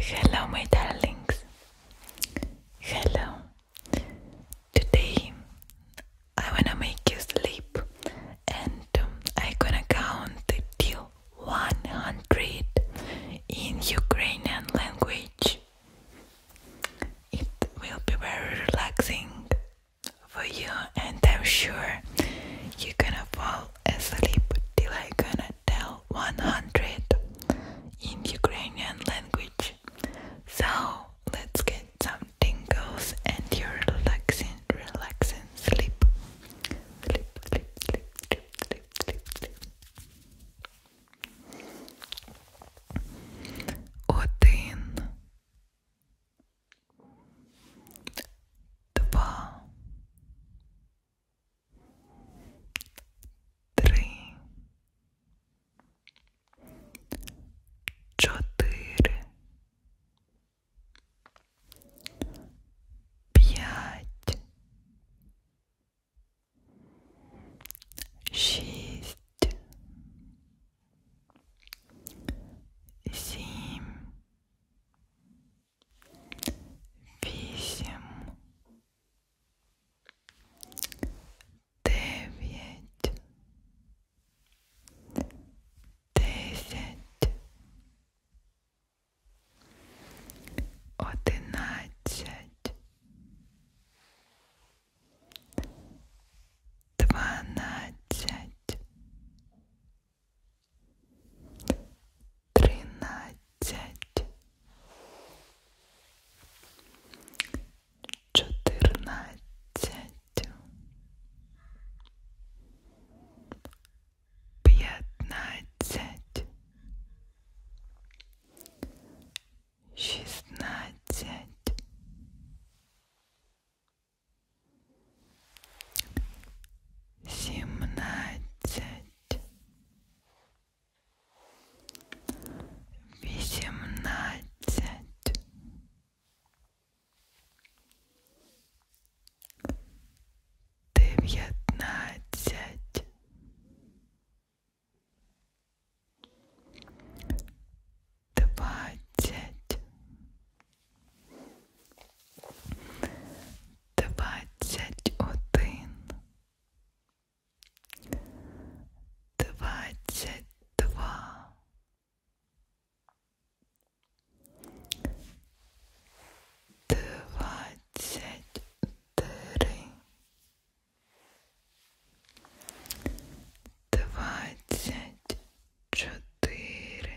Hello, my darlings. Hello. Today I wanna make you sleep, and um, i gonna count till 100 in Ukrainian language. It will be very relaxing for you, and I'm sure you gonna fall asleep till i gonna tell 100 in Ukrainian language. So let's get some tingles and your relaxing, relaxing sleep. Sleep, sleep, sleep, sleep, sleep, sleep, sleep. Один, три, чотири, п'ять, шість, сім вісім, дев'ять, десять, одинадцять, дванадцять тринадцать, четырнадцать, пятнадцать, шестнадцать семнадцать, восемнадцать, девятнадцать, двадцать двадцять один, двадцять два, двадцять три, двадцять чотири.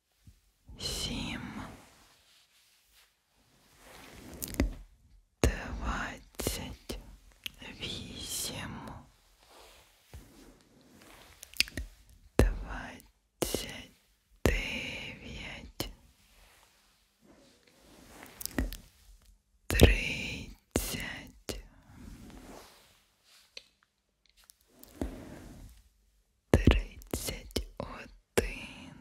семь, двадцать восемь, двадцать девять, тридцать, тридцать один один,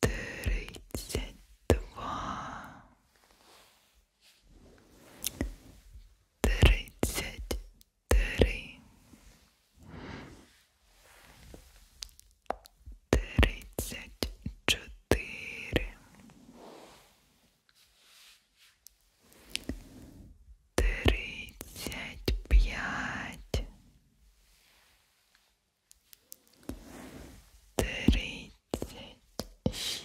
тридцать два, тридцать три, тридцать четыре тридцать пять, тридцать шесть,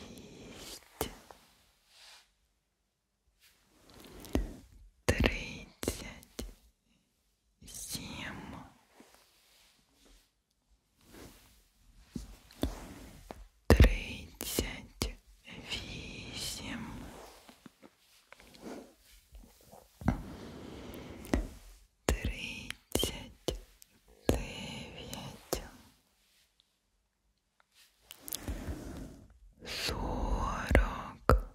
тридцать семь тридцать вісім, тридцять дев'ять, сорок,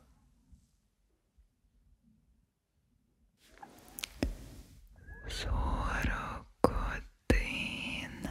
сорок один.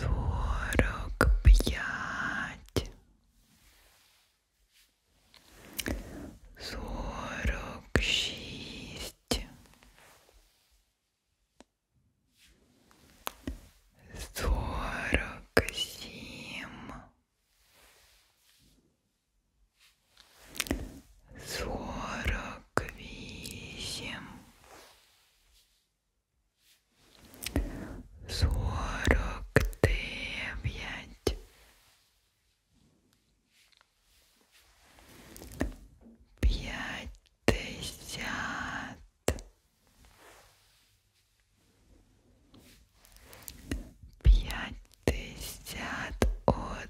сорок пять, сорок шесть, сорок семь, сорок восемь сорок дев'ять, п'ятдесят, п'ятдесят один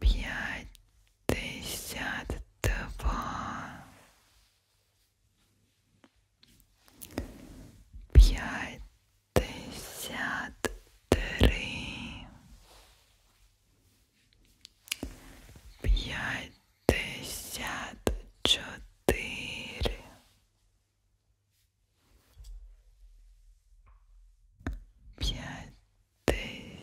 пятьдесят два пятьдесят три пятьдесят четыре пятьдесят пять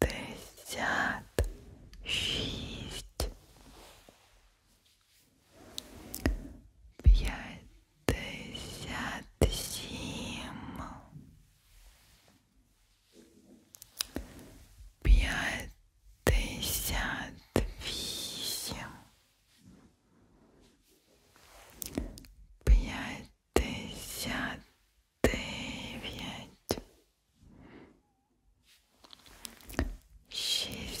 пятьдесят шесть пятьдесят семь пятьдесят восемь, пятьдесят девять, шестьдесят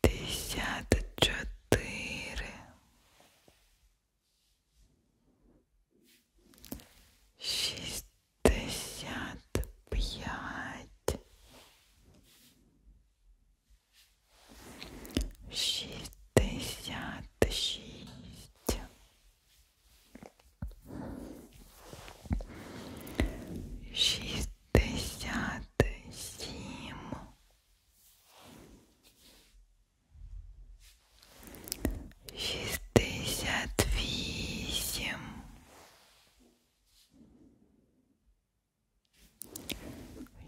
пятьдесят четыре шестьдесят пять шестьдесят шесть шестьдесят пятьдесят семь шестьдесят восемь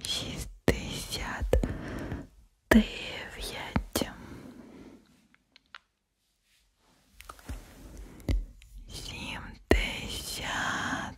шестьдесят девять семьдесят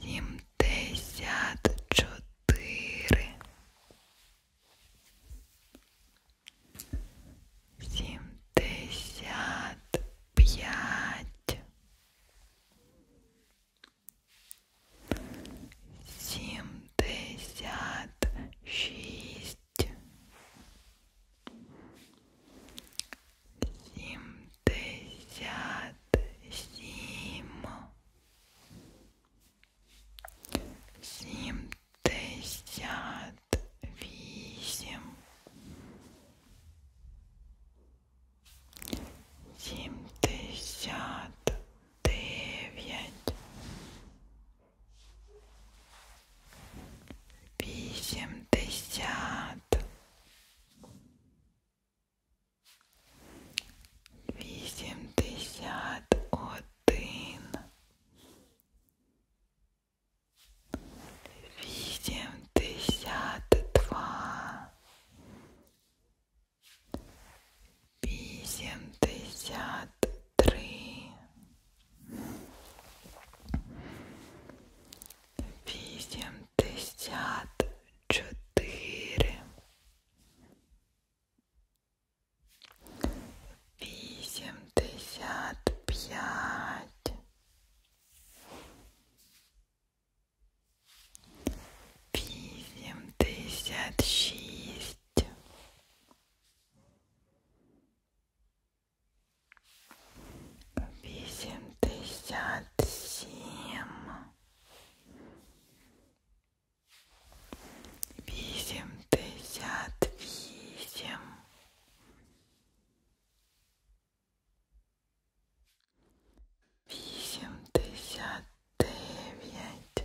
Сімдесят чотири. Сімдесят п'ять. Сімдесят шість семьдесят семь, семьдесят восемь, семьдесят девять, восемьдесят Вісімдесят один, вісімдесят два, вісімдесят три, Вісімдесят чотири. Вісімдесят п'ять. Вісімдесят шість. Восемьдесят семь, восемьдесят восемь, восемьдесят девять,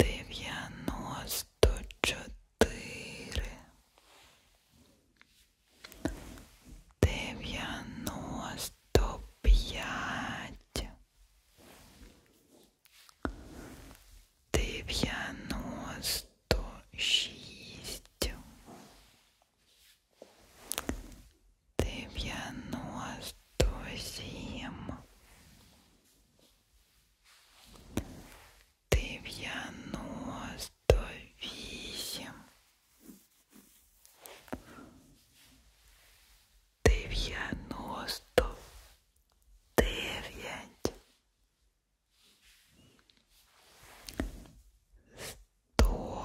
дев'яносто чотири, дев'яносто п'ять, дев'яносто шість, девяносто семь, девяносто восемь, девяносто девять, сто